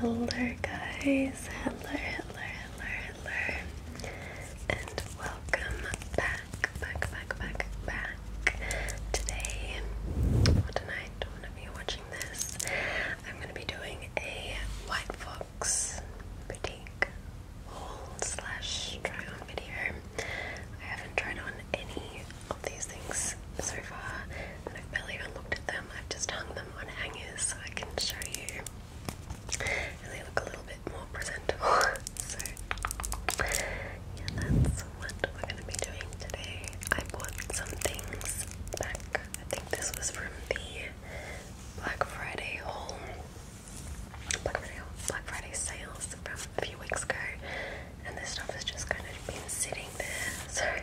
Hello guys, hello, hello, hello, hello, and welcome back, back, back, back, back. Today or tonight, whenever you watching this, I'm going to be doing a White Fox boutique haul slash try on video. I haven't tried on any of these things so far, and I've barely even looked at them. I've just hung them on hangers so I can show you, and they look a little bit more presentable. so, yeah, that's what we're going to be doing today. I bought some things back I think this was from the Black Friday Black Friday Black Friday sales from a few weeks ago, and this stuff has just kind of been sitting there. So I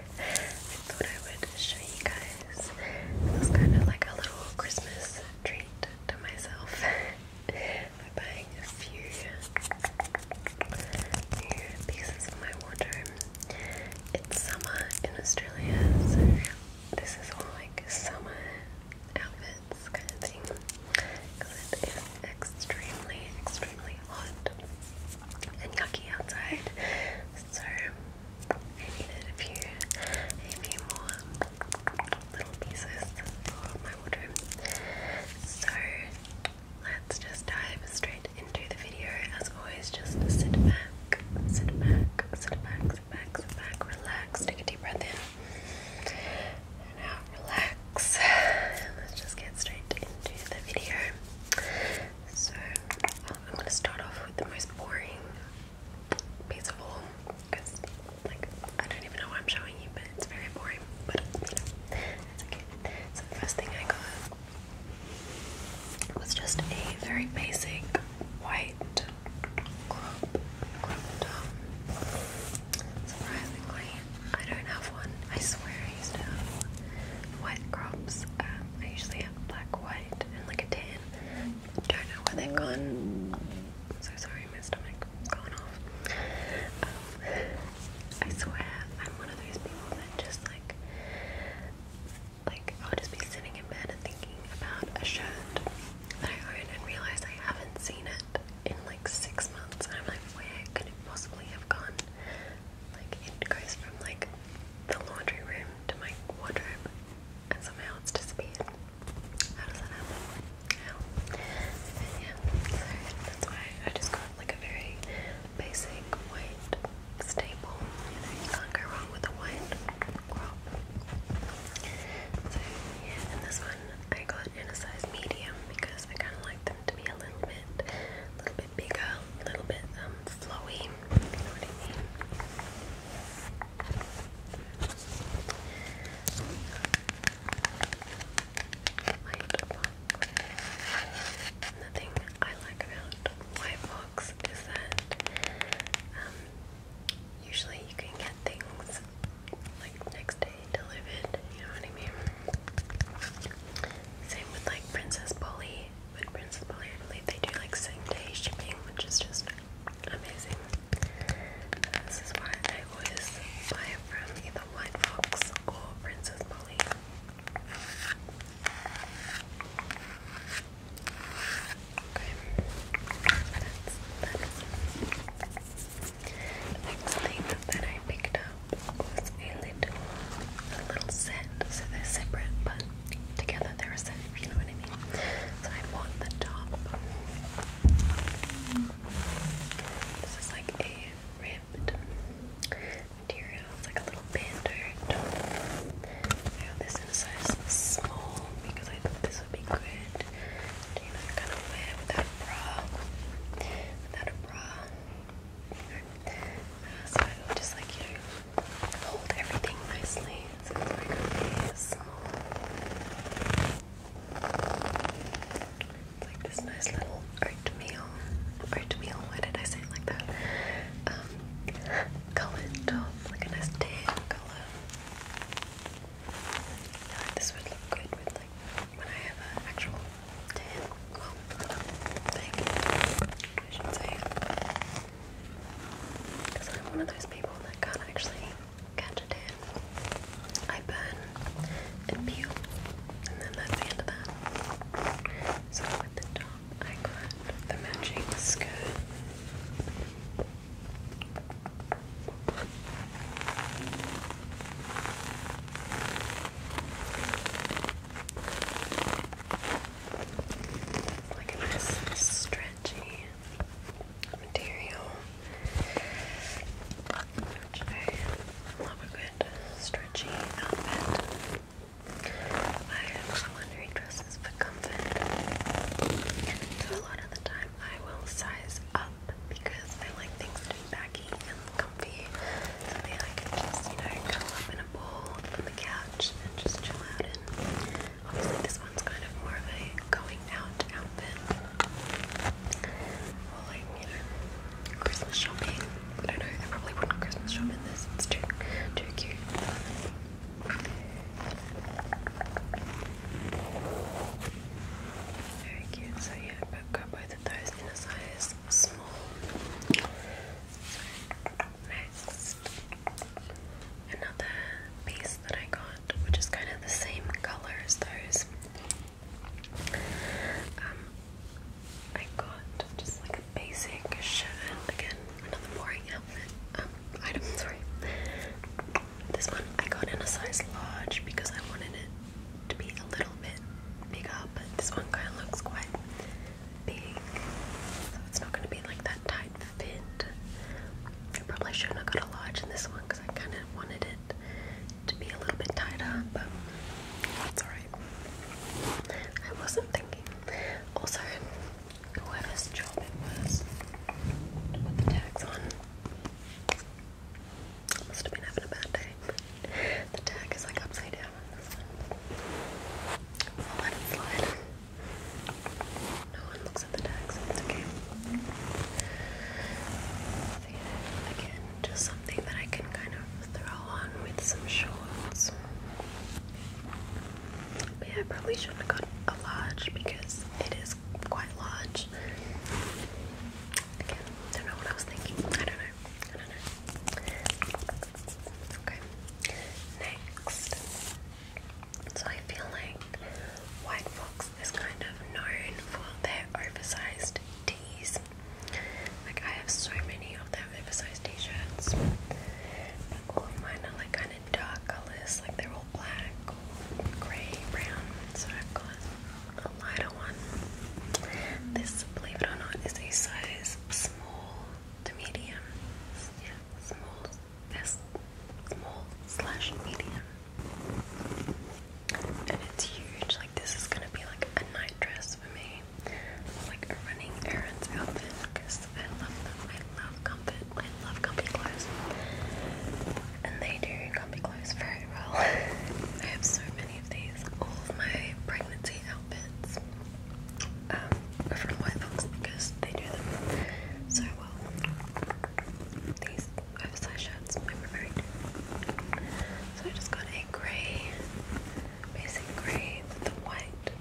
thought I would show you guys. It was kind of like a little Christmas treat to myself by buying a few new pieces for my wardrobe. It's summer in Australia, this is all like summer outfits kind of thing because it is extremely, extremely hot and yucky outside. So I needed a few, a few more little pieces for my wardrobe. So let's just dive straight into the video. As always, just sit back, sit back, sit back, sit back, sit back, relax, take a deep breath in and out, relax. let's just get straight into the video. So, I'm going to start off with the most boring piece of all because, like, I don't even know why I'm showing you, but it's very boring. But you know, it's okay. So the first thing I got it was just a very basic white crop Surprisingly, I don't have one. I swear I used to have white crops. Um, I usually have black, white, and like a tan. Don't know where they've gone. So sorry, my stomach gone off. Um, I swear I'm one of those people that just like like I would just be sitting in bed and thinking about a shirt that I own and realize I haven't seen it in like six months. And I'm like, where could it possibly have gone? Like it goes from like the laundry room to my wardrobe, and somehow it's disappeared. How does that happen? And yeah, that's why I just got like a very basic white stable. can't go wrong with a white crop. So this one I got in a size medium because I kind of like them to be a little bit, a little bit bigger, a little bit um, flowy. Nothing I like about White Fox is that um, usually you can get things like next day delivered, you know what I mean? Same with like Princess Polly, With Princess Polly I believe they do like same day shipping, which is just amazing. This is why I always buy from either White Fox or Princess Polly next thing that I picked up was a little, a little set. So they're separate, but together they're a set. you know what I mean. So I bought the top. This is like a ribbed materials, like a little bandage. I have this in a size small because I thought this would be good. without a bra. Without a bra. just like you hold everything nicely. it's like this nice little oatmeal. Oatmeal, why did I say like that? Um, colored top, like a nice tan color. I like this would look good with like when I have an actual tan, well, thing, I should say. Because I'm one of those people that can't actually catch a tan. I burn and peel, and then that's the end of that. So with the top. I got the matching skirt. Like a nice stretchy material. I love a good stretchy outfit. I am someone dresses for comfort. So a lot of the time I will size up because I like things to be baggy and comfy. Something I can just, you know, curl up in a ball on the couch and just chill out in. Obviously this one's kind of more of a going out outfit. Or like, you know, Christmas shopping. I don't know, I probably wouldn't Christmas shop in this, it's too too cute. Very cute. So yeah, i got both of those in a size small. Next, another piece that I got, which is kind of the same color as those. Um, I got just like like basic shirt. Again, another boring outfit. Um, item. Sorry. This one I got in a size large because I wanted it to be a little bit bigger, but this one kind of looks quite big, so it's not going to be like that tight fit. I probably should have got a large in this one because I kind of wanted it to be a little bit tighter, but it's alright. I wasn't thinking. Also, whoever's job it was to put the tags on. Must have been having a bad day. The tag is like upside down let it slide. No one looks at the tag, it's okay. again, just something that I can kind of throw on with some shorts yeah, I probably shouldn't have got a large because it is quite large. Again, don't know what I was thinking. I don't know. I don't know. Okay. Next. So I feel like White Fox is kind of known for their oversized tees. Like I have so many of their oversized t-shirts. all of mine are like dark colors, like they're all black, or grey, brown. So i got a lighter one. This, believe it or not, is a size small to medium. Yeah, small, yes, small slash medium. And it's huge. Like this is gonna be like a night dress for me, like running errands outfit. I love them. I love comfort. I love comfy clothes. And they do comfy clothes very well. I have so many of these. All of my pregnancy outfits um, are from White Fox because they do them so well. These oversized shirts I'm So I just got a grey, basic grey with the white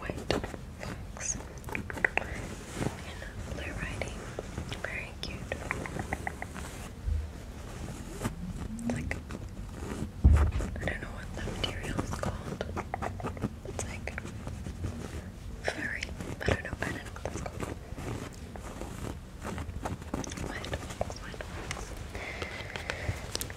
white fox in blue writing. Very cute. It's like I don't know what the material is called. It's like very I don't know, I don't know what that's called. White fox, white fox. A lot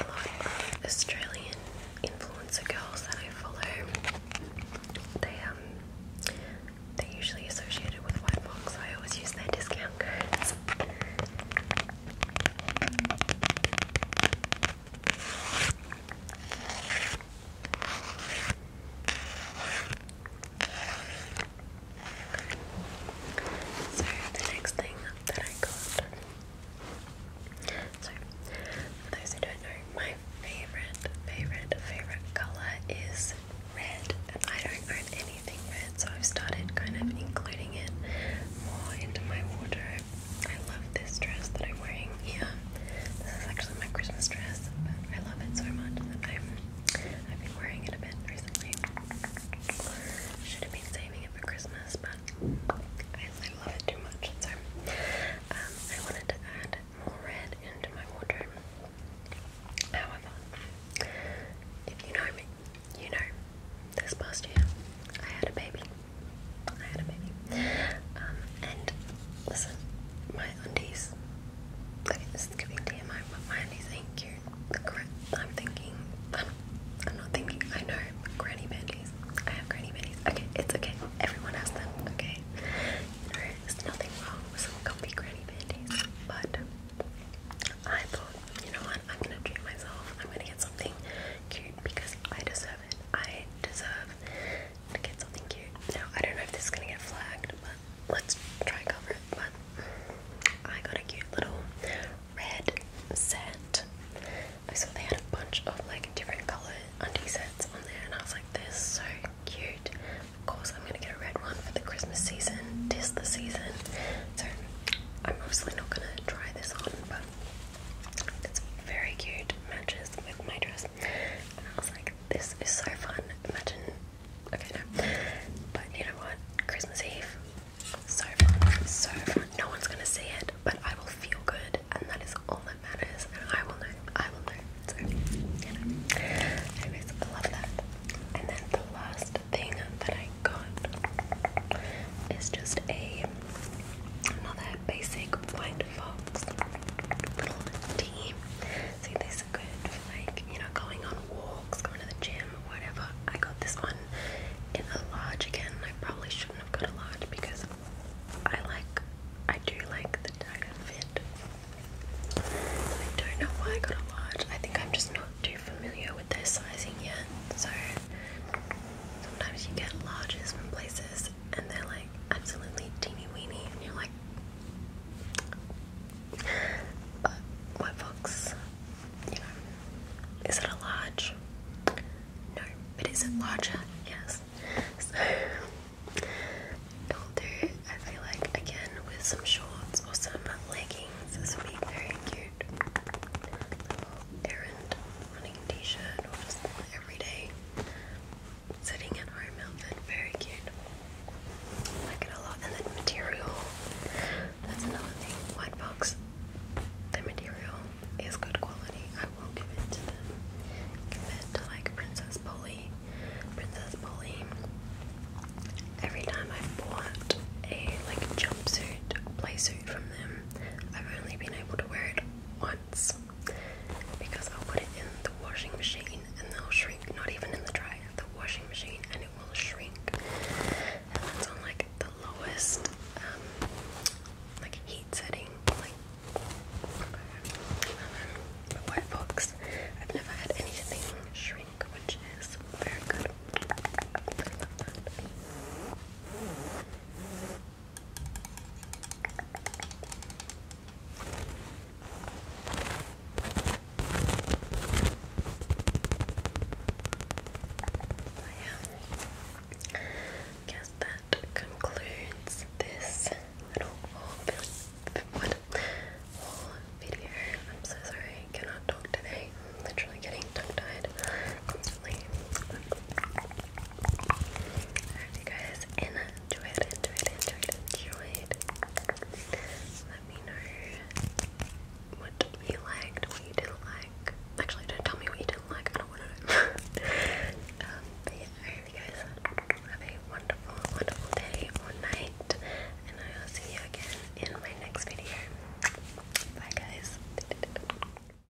of Australian influencer girls that I follow, they um they usually associated with White I always use their discount codes. So the next thing that I got. So for those who don't know, my favorite, favorite, favorite color is red, and I don't own anything red, so I've started kind of including it more into my wardrobe. I love this dress that I'm wearing. Yeah, this is actually my Christmas dress, I love it so much that I'm, I've been wearing it a bit recently. Should have been saving it for Christmas, but I love it too much. So um, I wanted to add more red into my wardrobe. However, if you know me, you know, this past year I had a baby. I had a baby. Um, and listen, my undies. this is giving TMI, but my undies ain't cute. I'm thinking, I'm, I'm not thinking, I know, granny bandies. I have granny bandies. Okay, it's okay. Everyone has them, okay? there's nothing wrong with comfy granny bandies, but I thought, you know what, I'm gonna treat myself. I'm gonna get something cute because I deserve it. I deserve to get something cute. Now, I don't know if this is going to get flagged, but let's try and cover it. But I got a cute little red set. I saw they had a bunch of like different color undie sets on there, and I was like, this is so cute. Of course, I'm going to get a red one for the Christmas season. Tis the season. So, I'm obviously not going to try this on, but it's very cute, matches with my dress. I was like, this is so fun. Imagine, okay, no. But you know what? Christmas Eve, so fun, so fun. No one's gonna see it, but I will feel good, and that is all that matters. And I will know, I will know. So, Anyways, I love that. And then the last thing that I got is just a another basic white fox See, these are good for like, you know, going on walks, going to the gym, whatever. I got this one in a large again. I probably shouldn't have got a large because I like, I do like the tighter fit. I don't know why I got a large. I think I'm just not too familiar with their sizing yet. So Sometimes you get lodges from places and they're like absolutely teeny weeny, and you're like, but white fox, you know, is it a lodge? No, it isn't. larger? Yes. So will do. I feel like again with some shorts or some leggings, this would be very cute. errand running t-shirt just everyday sitting at home outfit. Very cute. I like it a lot. And then material. That's another thing. White box. The material is good quality. I will give it to them. Compared to like Princess Polly. Princess Polly. Every time I've bought a like jumpsuit, playsuit from them, I've only been able to wear it once because I'll put it in the washing machine and they'll shrink, not even in the dryer, the washing machine and it will shrink. And that's on like the lowest um, like heat setting, like um, white box. I've never had anything shrink, which is very good. I that. I guess that concludes this little whole video. I'm so sorry cannot talk today. I'm literally getting tongue-tied honestly. you guys enjoyed, enjoyed, enjoyed, enjoyed. Let me know what you liked, what you didn't like. Actually, don't tell me what you didn't like, I don't want to know. Um, I hope you guys have a wonderful, wonderful day or night, and I will see you again in my next video. Bye, guys.